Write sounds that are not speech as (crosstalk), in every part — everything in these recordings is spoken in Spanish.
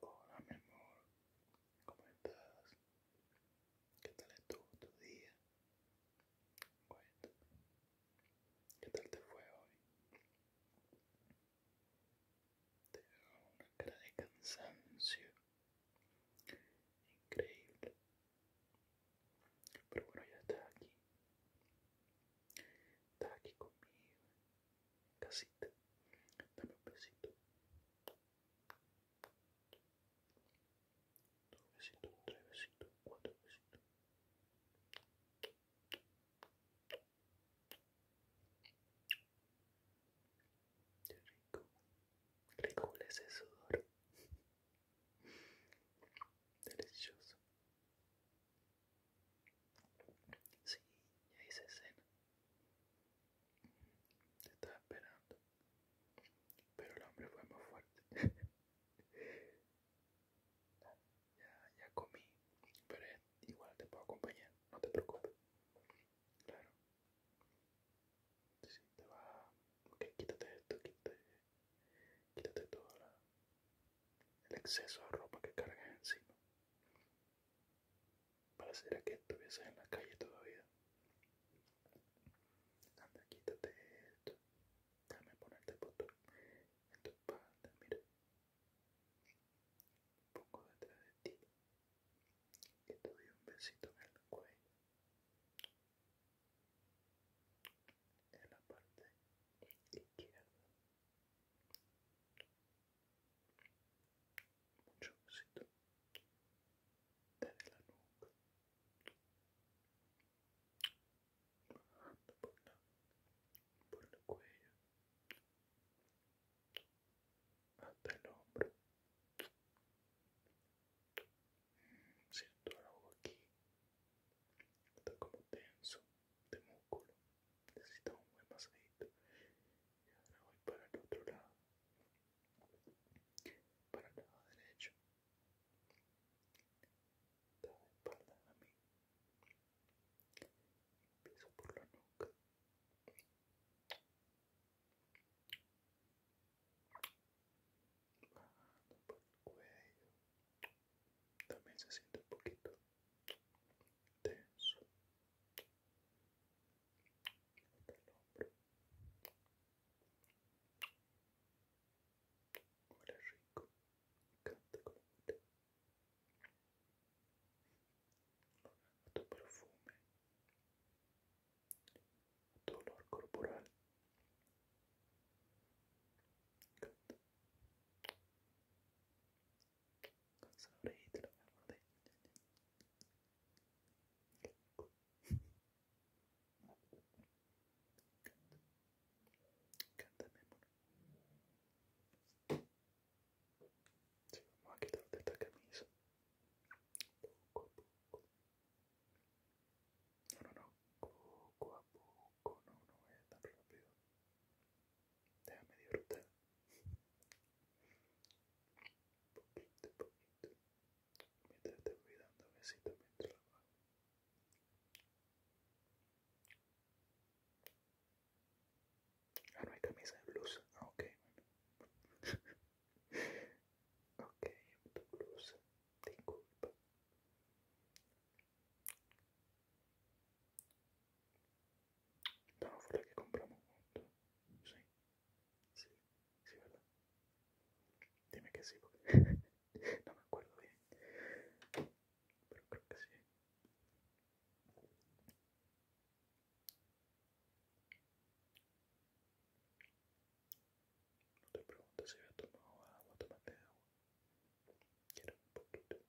Hola mi amor, ¿cómo estás? ¿Qué tal estuvo tu día? ¿qué tal te fue hoy? Te veo una cara de cansancio increíble, pero bueno, ya está aquí, estás aquí conmigo casita. Dame un besito. Dos besitos, tres besitos, cuatro besitos. Qué rico. Qué rico es ese sudor. (laughs) Delicioso. Sí, ya hice cena. Te estaba esperando. Pero el hombre fue más fuerte. (laughs) ya, ya comí. Pero igual te puedo acompañar, no te preocupes. Claro. Sí, te va. Ok, quítate esto, quítate. Quítate todo el exceso de ropa que cargas encima. ¿Para a que estuvieses en la calle todavía. Anda, quítate esto. Déjame ponerte puesto en tu espalda, mira. poco detrás de ti y te doy un besito en el cuello. En la parte izquierda. Mucho éxito desde la nuca, por la, por cuello hasta el hombro. Siento algo aquí, está como tenso de músculo. Necesito un buen masajito. Y ahora voy para el otro lado, para el lado derecho. Da de a mí. Empiezo por la nuca. Bajando por el cuello también se siente un poquito tenso Nota el hombro huele rico canta con huele a tu perfume a tu olor corporal Canta te lo de vamos a quitarte esta camisa. Poco a poco. No, no, no. Poco a poco. No, no es tan rápido. Déjame medio un Poquito, poquito. Mientras te mientras Ah, no hay camisa de blusa. Ah, ok, (laughs) No, fue la que compramos juntos. Sí, sí, sí, ¿verdad? Dime que sí, porque (laughs) no me acuerdo bien. Pero creo que sí. No te pregunto si había tomado agua, tomate agua. Quiero un poquito.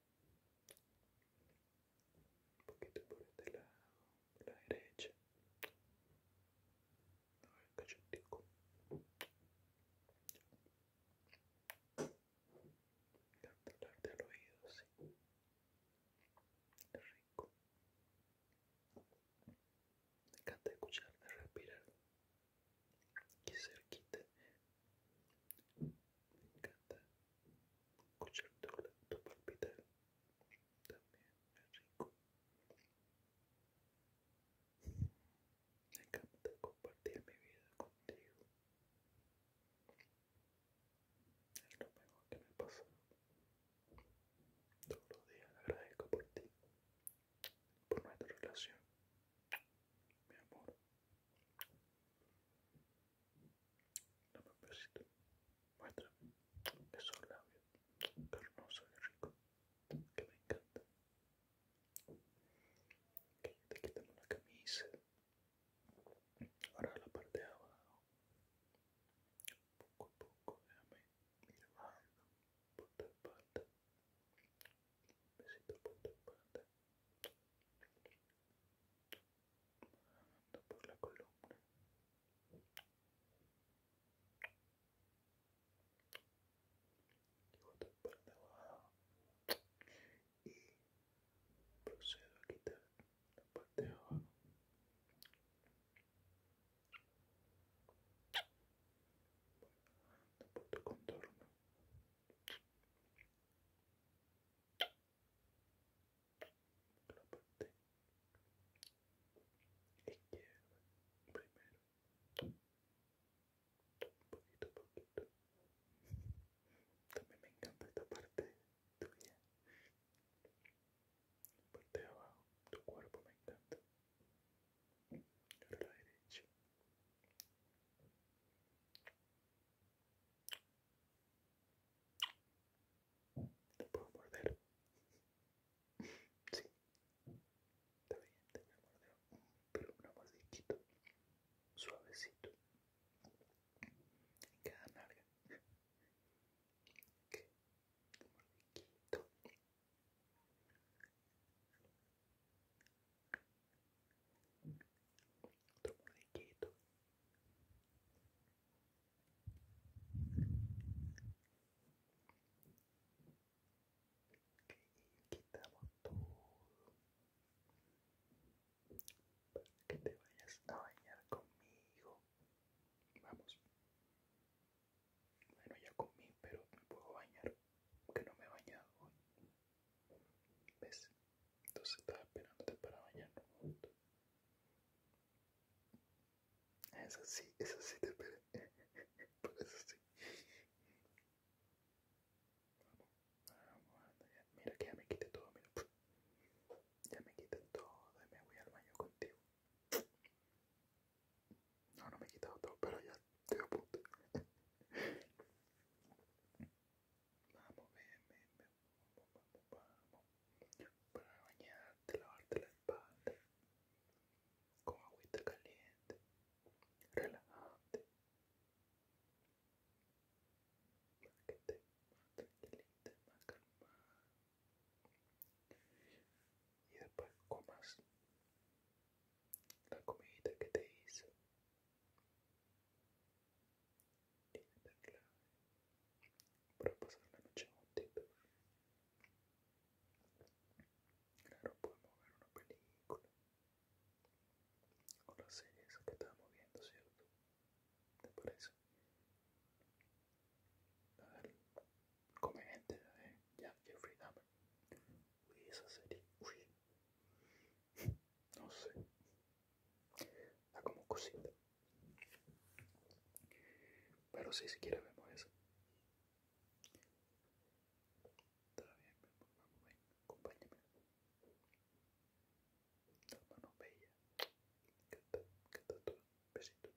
un poquito por este lado, por la derecha, a ver, encanta hablarte al oído así, rico, me encanta escucharte respirar, aquí cerquita me encanta escuchar tu, tu también rico. Me encanta compartir mi vida contigo. Es lo mejor que me pasa. Todos los días agradezco por ti, por nuestra relación, mi amor. não Dame un besito. Muestra esos labios carnosos y rico que me encantan. Que te quitamos la camisa. Ahora la parte de abajo. pouco a poco déjame ir bajando por tu espalda. Un besito Ando por la columna. Llevo otra parte abajo. Y procedo a quitar la parte de abajo. por tu contorno la parte izquierda primero poquito a poquito también me encanta esta parte tuya la parte de abajo tu cuerpo me encanta la derecha te puedo morder. Sí. Está bien, te voy a morder. Pero una mordidito. Suavecito. En cada nariz Ok. Mordidito. Otro modiquito, Y quitamos todo para que te vayas a bañar conmigo. Vamos. Bueno, ya comí, pero me puedo bañar, que no me he bañado ¿Ves? Entonces estaba esperándote para bañarnos juntos. Ah, esa sí, esa sí te esperé. (laughs) Por eso sí. Vamos, Mira que ya me quité todo, mira. Ya me quité todo y me voy al baño contigo. No, no me he quitado todo, pero ya estoy a punto. Vamos, ven, ven, vamos, vamos, vamos. Para bañarte, lavarte la espalda. Con agüita caliente. Relajante. Para que estés más tranquilita, más calmada. Y después comas la comidita que te hice tiene la clave para pasar la noche juntito. Claro, podemos ver una película o serie esa que estábamos viendo, ¿cierto? ¿Te parece? A ver, comediante de ¿eh? Ya, Jeffrey Dahmer. Uy, esa serie, uy, no sé. Da como cosita. Pero sí, si quieres vemos eso. Está bien, vamos, ven, acompáñame. La mano bella. ¿Qué tal? ¿Qué Besito.